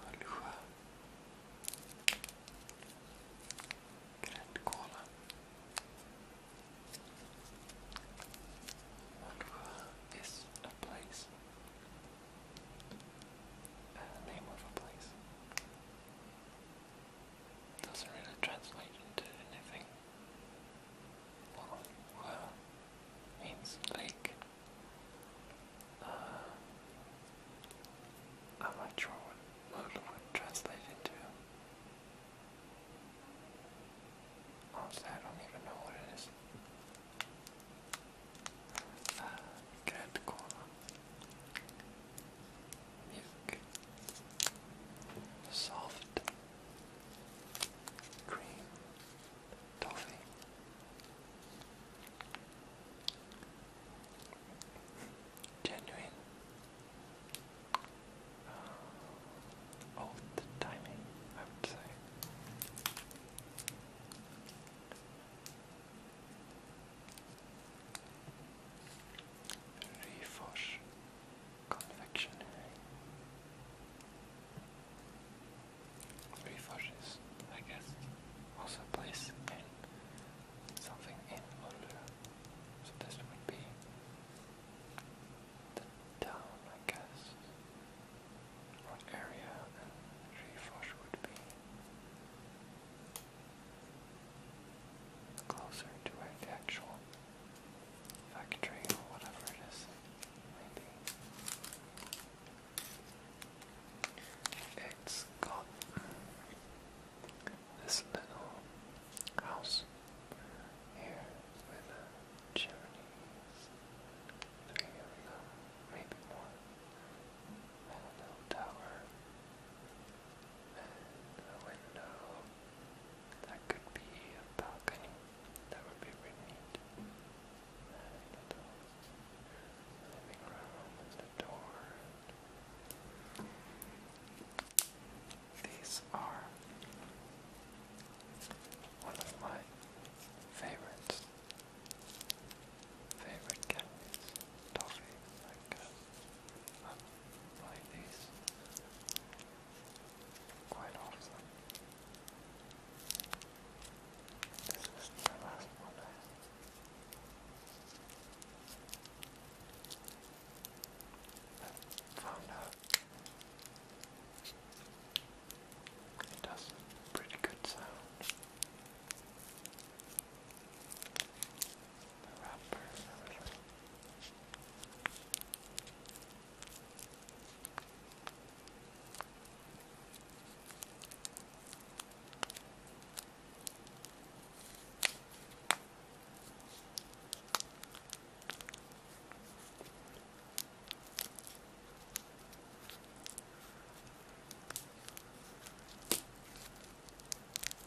Malua, Grancola, Malua is a place, name of a place. doesn't really translate into anything. Malua means lake. I'm not sure what Lola would into. Honestly, I don't even know what it is. Uh, Grand Milk. Soft. Cream toffee. Genuine. Uh, old timing, I would say. Refosh confectionery. Three I guess. Also place in something in under. So this would be the down, I guess. Or area, and three would be closer to where actual factory or whatever it is, maybe. It's this little house here with a chimneys, three of them, maybe more, and a tower, and a window, that could be a balcony. That would be really neat. living room and door. These are one of my favorites. Favorite candies, toffee, um, like these quite often. This is the last one found out. It does pretty good sound the wrapper and everything.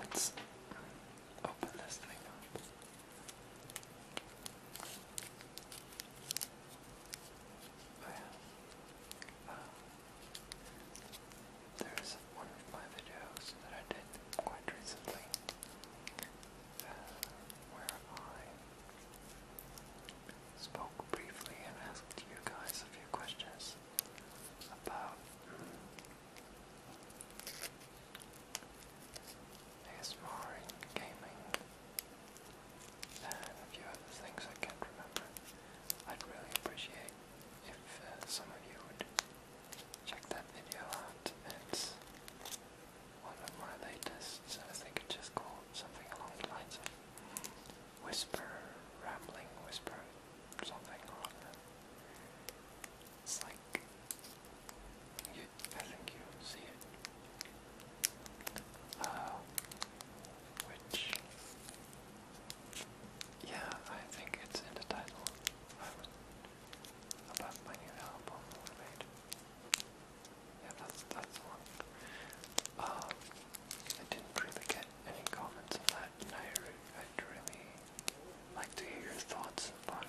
Let's open this thing up. Oh, yeah. uh, there's one of my videos that I did quite recently uh, where I spoke briefly and asked you guys a few questions about hmm, ASMR and gaming and a few other things I can't remember. I'd really appreciate if uh, some of you would check that video out. It's one of my latest, I think it's just called something along the lines of Whisper, Rambling Whisper, something It's like, I think you see it. Uh, which, yeah, I think it's in the title about my new album Yeah, that's that's one. Um, I didn't really get any comments on that, and I I'd really like to hear your thoughts about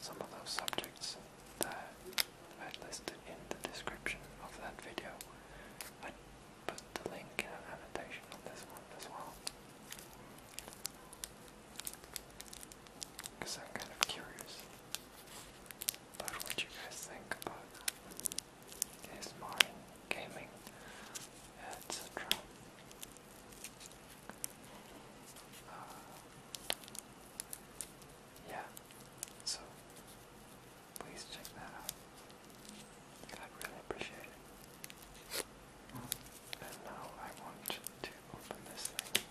some of those subjects that I've listed in the description of that video. I put the link in annotation on this one as well. Because I'm kind of curious about what you guys think about his modern gaming, etc. Uh, yeah, so please check that out. I'd really appreciate it. Mm-hmm. And now I want to open this thing.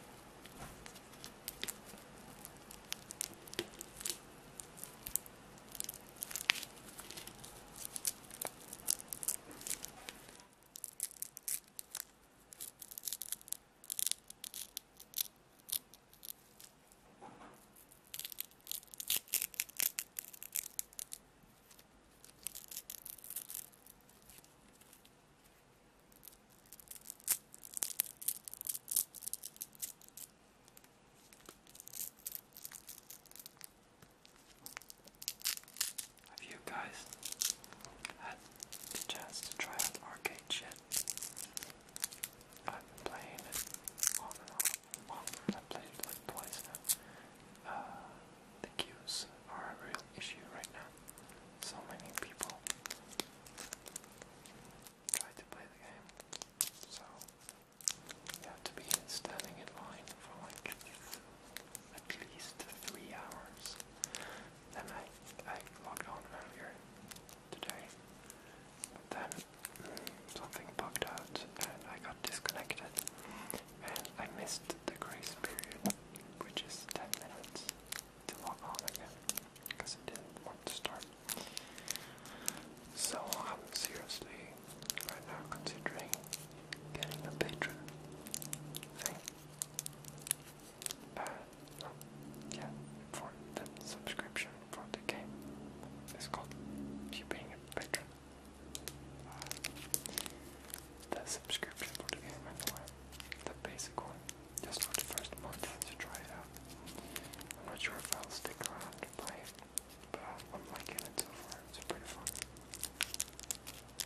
Have you guys had the to try out arcade shit. I've been playing it on and off. Well, I played it like now. Uh, the queues are a real issue right now. So many people try to play the game. So you have to be standing in line for like at least three hours. Then I, I logged on earlier today, then something bugged out and I got disconnected, and I missed the grace period, which is 10 minutes to log on again, because it didn't want So I'm seriously right now considering getting a patron yeah, for the subscription for the game. It's called you being a patron. Uh, the subscription for the game anyway, the basic one, just for the first month to try it out. I'm not sure if I'll stick around to play it, but I'm liking it so far. It's pretty fun.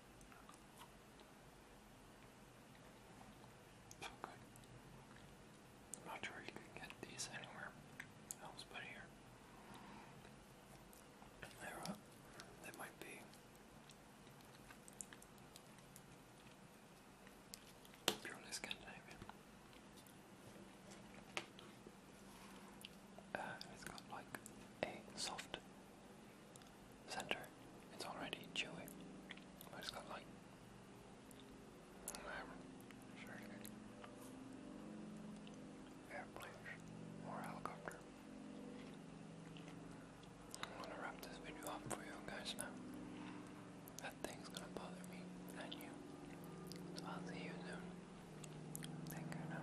So not sure you can get these anywhere else but here. they uh, They might be. Purely Scandinavian. Uh, it's got like a soft center. It's already chewy, but it got like. i or helicopter. I'm gonna wrap this video up for you guys now. That thing's gonna bother me and you. So I'll see you soon. Take care now.